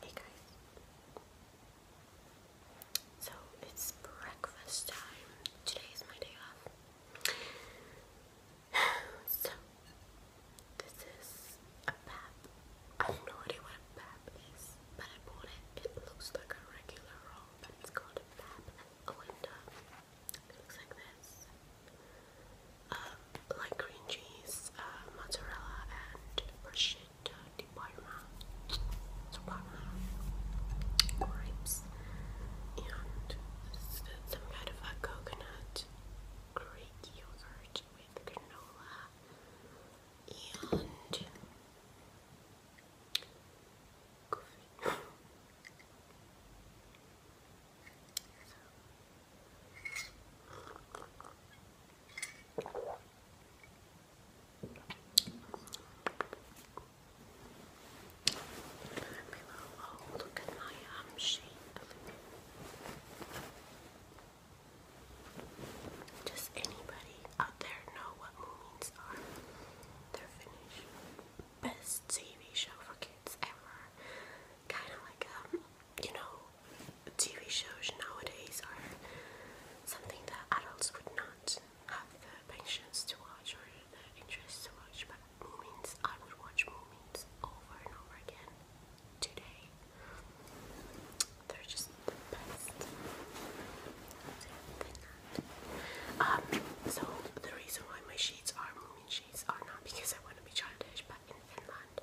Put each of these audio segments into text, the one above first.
Hey guys. So it's breakfast time. Today is my day off. so this is a pap. I have no idea what a pap is, but I bought it. It looks like a regular roll, but it's called a pap. Oh, and it looks like this uh, like green cheese, uh, mozzarella, and prosciutto di Parma, so Parma grapes, and some kind of a coconut Greek yogurt with granola, and coffee. Oh, look at my arm um, anybody out there know what Moomins are? They're Finnish. Best TV show for kids ever. Kind of like, um, you know, TV shows nowadays are something that adults would not have the patience to watch or the interest to watch, but movies, I would watch movies over and over again today. They're just the best. Um, so the reason why my sheets are moomin sheets are not because I want to be childish, but in Finland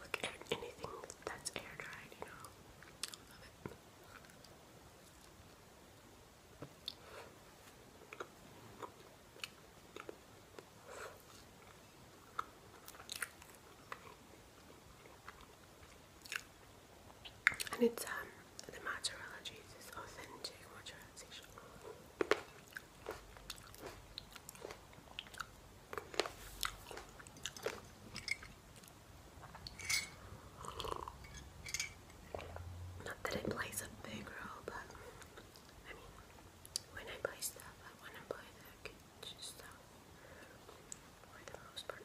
Like anything that's air dried, you know. And it's um the mozzarella cheese is authentic mozzarella cheese. Not that I place a big role, but I mean, when I buy stuff, I want to buy the kitchen stuff for the most part.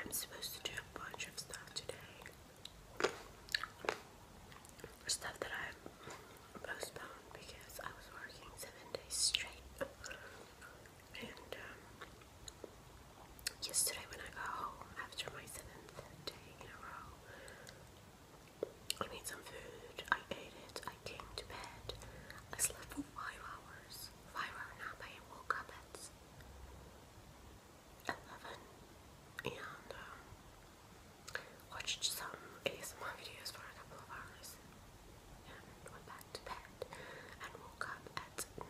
I'm supposed to do a bunch of stuff today stuff that I postponed because I was working seven days straight. And um, yesterday when I got home after my seventh day in a row, I made some food, I ate it, I came to bed, I slept for five hours, five hour nap, I woke up at 11 and um, watched some ASMR videos for a couple of hours and went back to bed and woke up at 9.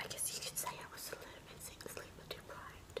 I guess you could say I was a little bit sleep deprived.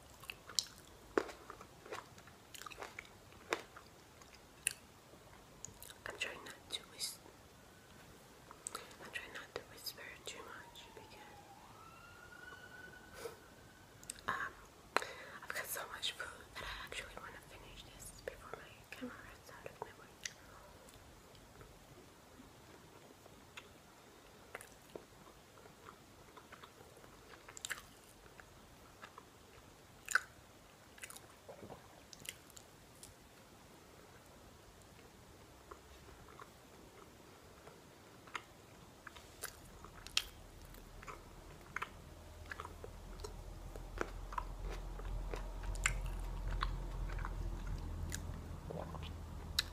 I'm not to whisper. I'm not to whisper too much because um I've got so much food that I actually want to finish this before my camera runs out of memory.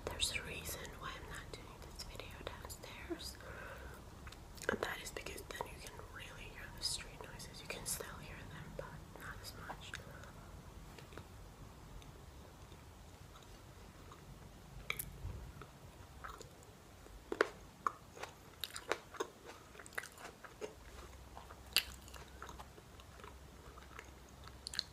There's a reason why I'm not doing this video down and that is because then you can really hear the street noises. You can still hear them, but not as much.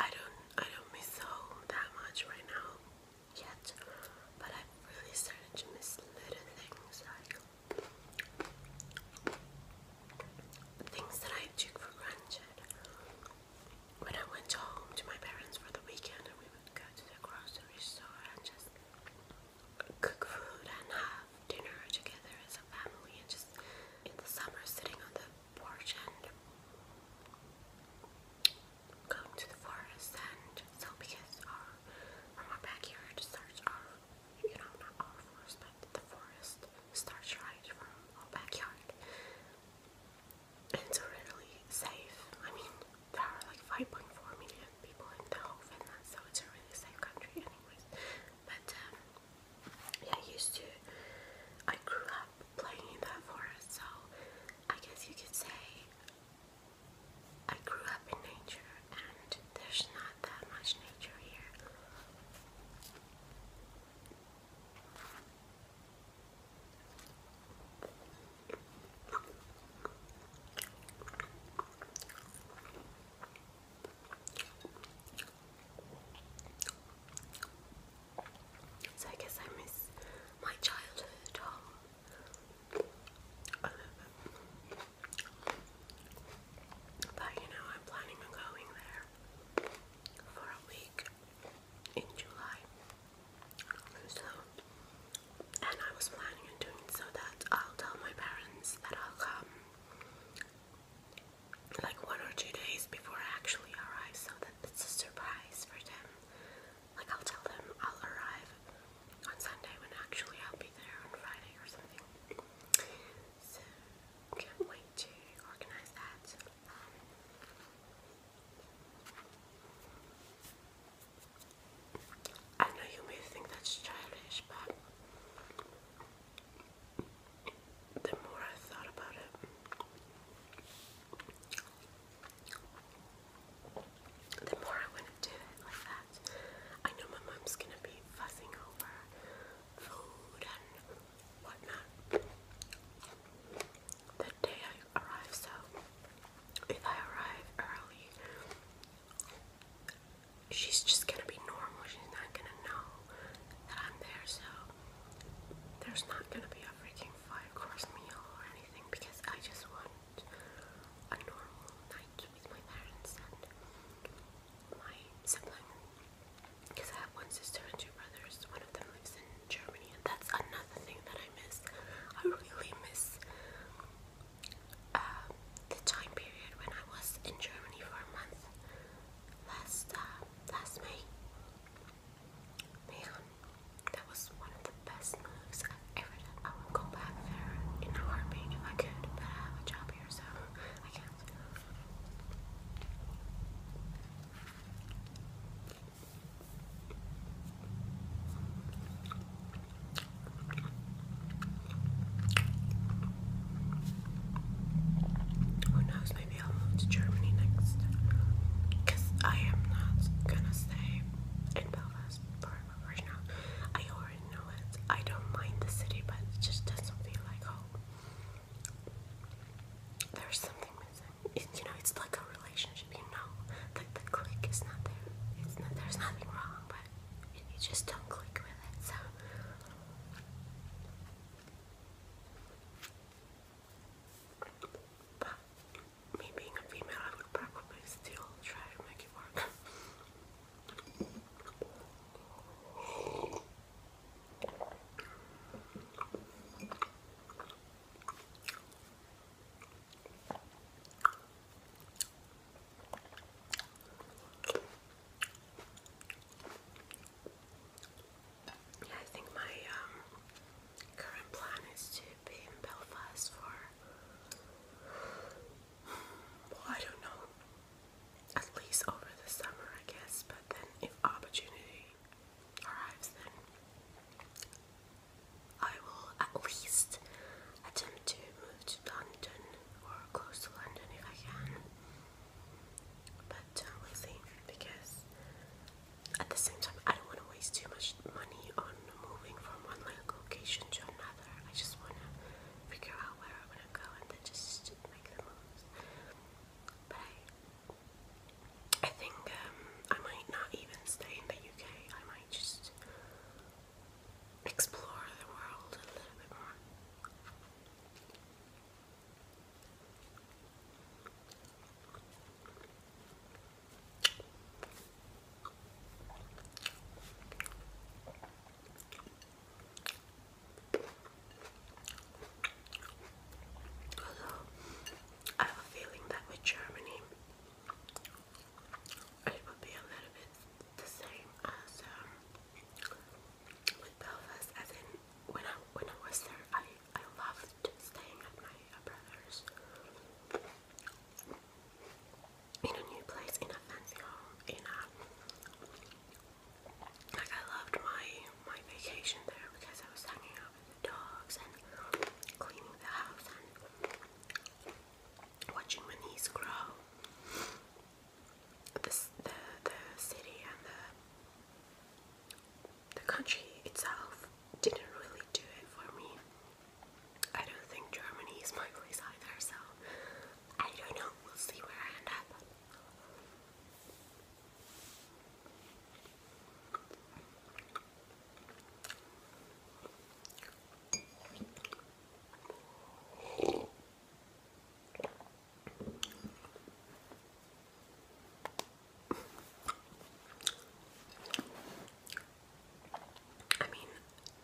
I don't I don't miss home that much right now yet, but I've really started to miss little things Things that I took for granted. When I went home to my parents for the weekend, and we would go to the grocery store and just cook food and have dinner together as a family, and just in the summer sitting on the porch and going to the forest and so because our our backyard starts our you know, not all fours, but the forest starts right from our backyard. And it's really safe. I mean, there are like 5.4 million people in the whole Finland, so it's a really safe country, anyways. But um, yeah, I used to, I grew up playing in that forest, so I guess you could say I grew up in nature and there's not that much nature here. So I guess I miss my childhood but you know, I'm planning on going there for a week in July. and I was planning on doing so that I'll tell my parents that I'll come like one or two days before I actually arrive so that it's a surprise for them. Like, I'll tell them I'll arrive on Sunday when actually I'll be there on Friday or something. So, can't wait to organize that. I know you may think that's childish, but the more I thought about it, the more I want to do it like that. I know my mom's gonna be fussing over food and whatnot the day I arrive, so if I arrive early, she's just gonna be normal. She's not gonna know that I'm there, so there's not gonna be a freaking five course meal or anything because I just want a normal night with my parents and my sibling. Because I have one sister and two brothers. One of them lives in Germany, and that's another thing that I miss. I really miss um, the time period when I was in Germany for a month last uh, last May. Man, um, that was one of the best moves I've ever done. I would go back there in a heartbeat if I could, but I have a job here, so I can't. Who knows, maybe I'll move to Germany next. Because I am not gonna stay in Belfast for I already know it. I don't mind the city, but it just doesn't feel like home. There's something missing. you know, it's like a relationship. You know, like the click is not there. It's not. There's nothing wrong, but you, just don't click with it. So me being a female, I would probably still try to make it work. Yeah, I think my um, current plan is to be in Belfast for well, I don't know. At least over the summer, I guess. But then, if opportunity arrives, then I will at least attempt to move to London or close to London if I can. But uh, we'll see because at the same time, I don't want to waste too much money on moving from one location to another. I just want to figure out where I am going to go and then just make the moves. But I, think um, I might not even stay in the UK. I might just explore the world a little bit more. Although I have a feeling that with Germany it would be a little bit the same as um, with Belfast as in when I when I was there I I loved staying at my brother's. In a new place, in a fancy home, in a like I loved my my vacation there because I was hanging out with the dogs and cleaning the house and watching my niece grow. The the, the city and the the country itself didn't really do it for me. I don't think Germany is my place either, so I don't know. We'll see where I end up. I mean,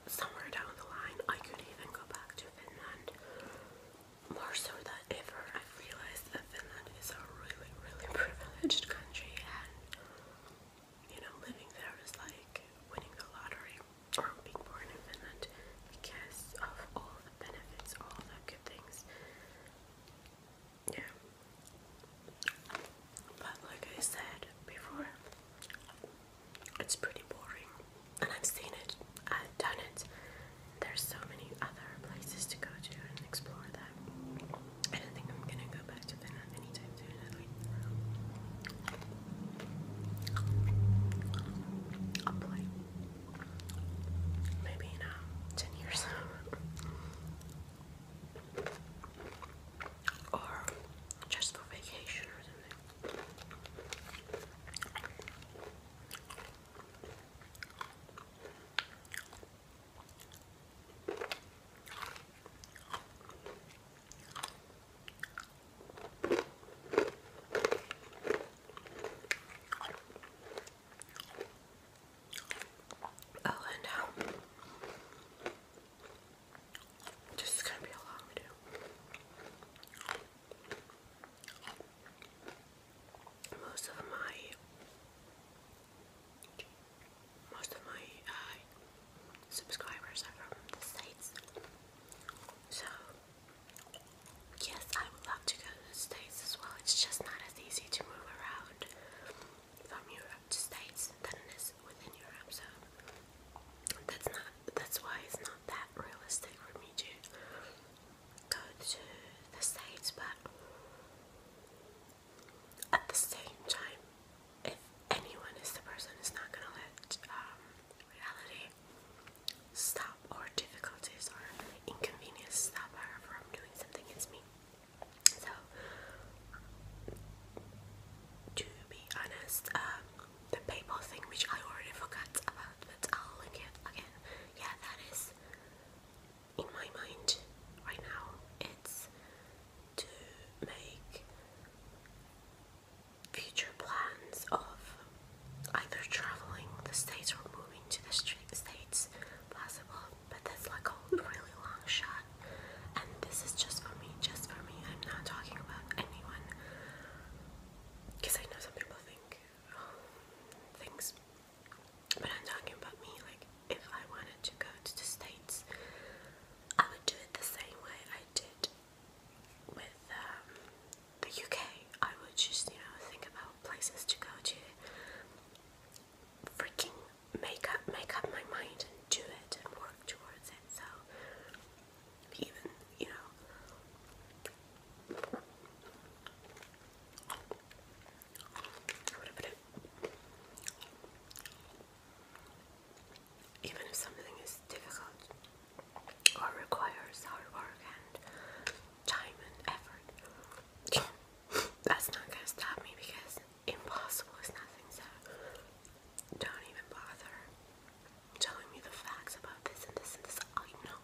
somewhere down the line, I could even go back to Finland. More so than ever, I've realized that Finland is a really, really privileged country, and you know, living there is like winning the lottery or being born in Finland because of all the benefits, all the good things. Yeah. But like I said before, it's pretty boring. And I've seen it, I've done it. There's so many other places to go to and explore that. I don't think I'm gonna go back to Finland anytime soon, at Maybe in uh, 10 years. or just for vacation or something. Oh, and now gonna be a long video. Most of my most of my uh, subscribers are from the States. So yes, I would love to go States as well. It's just not as easy to move around from Europe to States than it is within Europe. So that's not that's why it's not that realistic for me to go to the States but at the same time if anyone is the person is not gonna let um, reality stop or difficulties or inconvenience stop her from doing something it's me so, to be honest, um, the PayPal thing which I already forgot about, but I'll link it again. Yeah, that is in my mind right now. It's to make future plans of either traveling the states or moving to the states plates possible, but that's like a really long shot. And this is just for me, just for me. I'm not talking about anyone. Because I know some people think um, things. But I'm talking about me. Like, if I wanted to go to the States, I would do it the same way I did with um, the UK. I would just, you know, think about places to go to freaking make up make up my mind and do it and work towards it. So even you know Even if something is difficult or requires hard work and time and effort, that's not gonna stop me because impossible is nothing, so don't even bother telling me the facts about this and this and this. I know.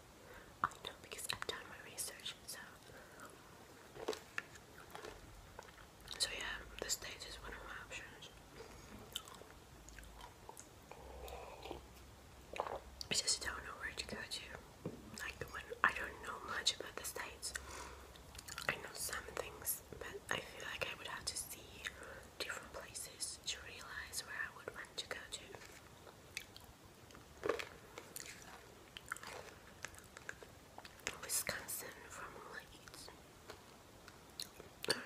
I know because I've done my research, so so yeah, the stage is one of my options. I just don't know where to go to. Like when I don't know much about the states, I know some things, but I feel like I would have to see different places to realize where I would want to go to. Wisconsin Formula Eats. Alright.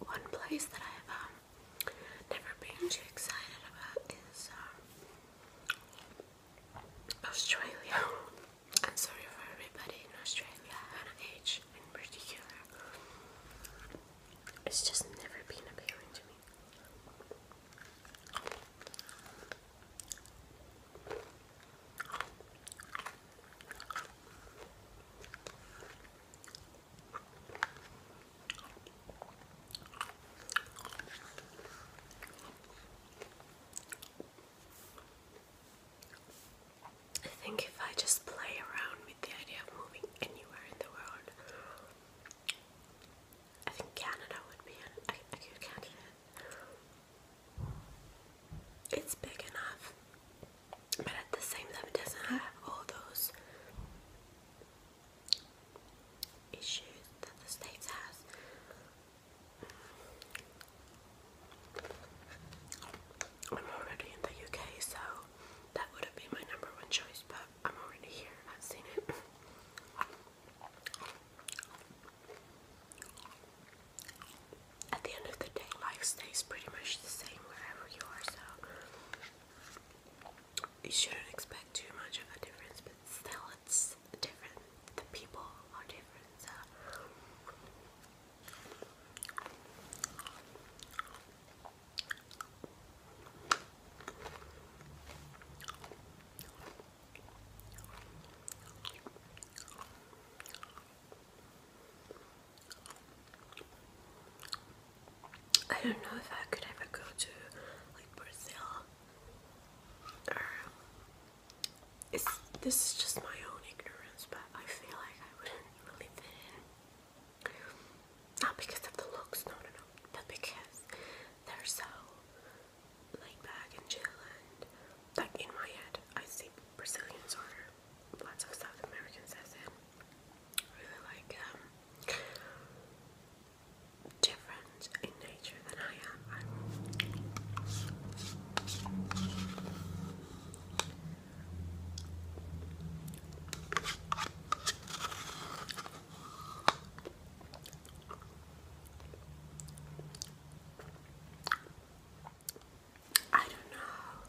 One place that I've um, never been too excited about is um, Australia. I'm sorry for everybody in Australia and age in particular. It's just never been appealing to me. I think if I just play around with the idea of moving anywhere in the world, I think Canada would be an, a good candidate it's big enough, but at the same time, it doesn't have all those issues that the States has. I'm already in the UK, so that would have been my number one choice, but I'm already here, I've seen it at the end of the day, life stays pretty much the same wherever you are, so you shouldn't expect too much of a difference, but still, it's different. The people are different, I don't know if I could ever go to like Brazil or this is just my own ignorance but I feel like I wouldn't really fit in. Not because of the looks, no no no, but because they're so laid back and chill and like in my head I see Brazilians or lots of South Americans as in really like um, different in nature than I'm I don't know.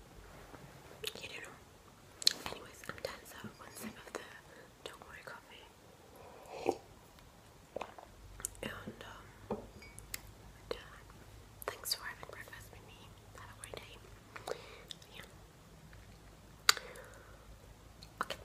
You know. Anyways, I'm done. So one sip of the don't worry coffee. And um Thanks for having breakfast with me. Have a great day. Okay.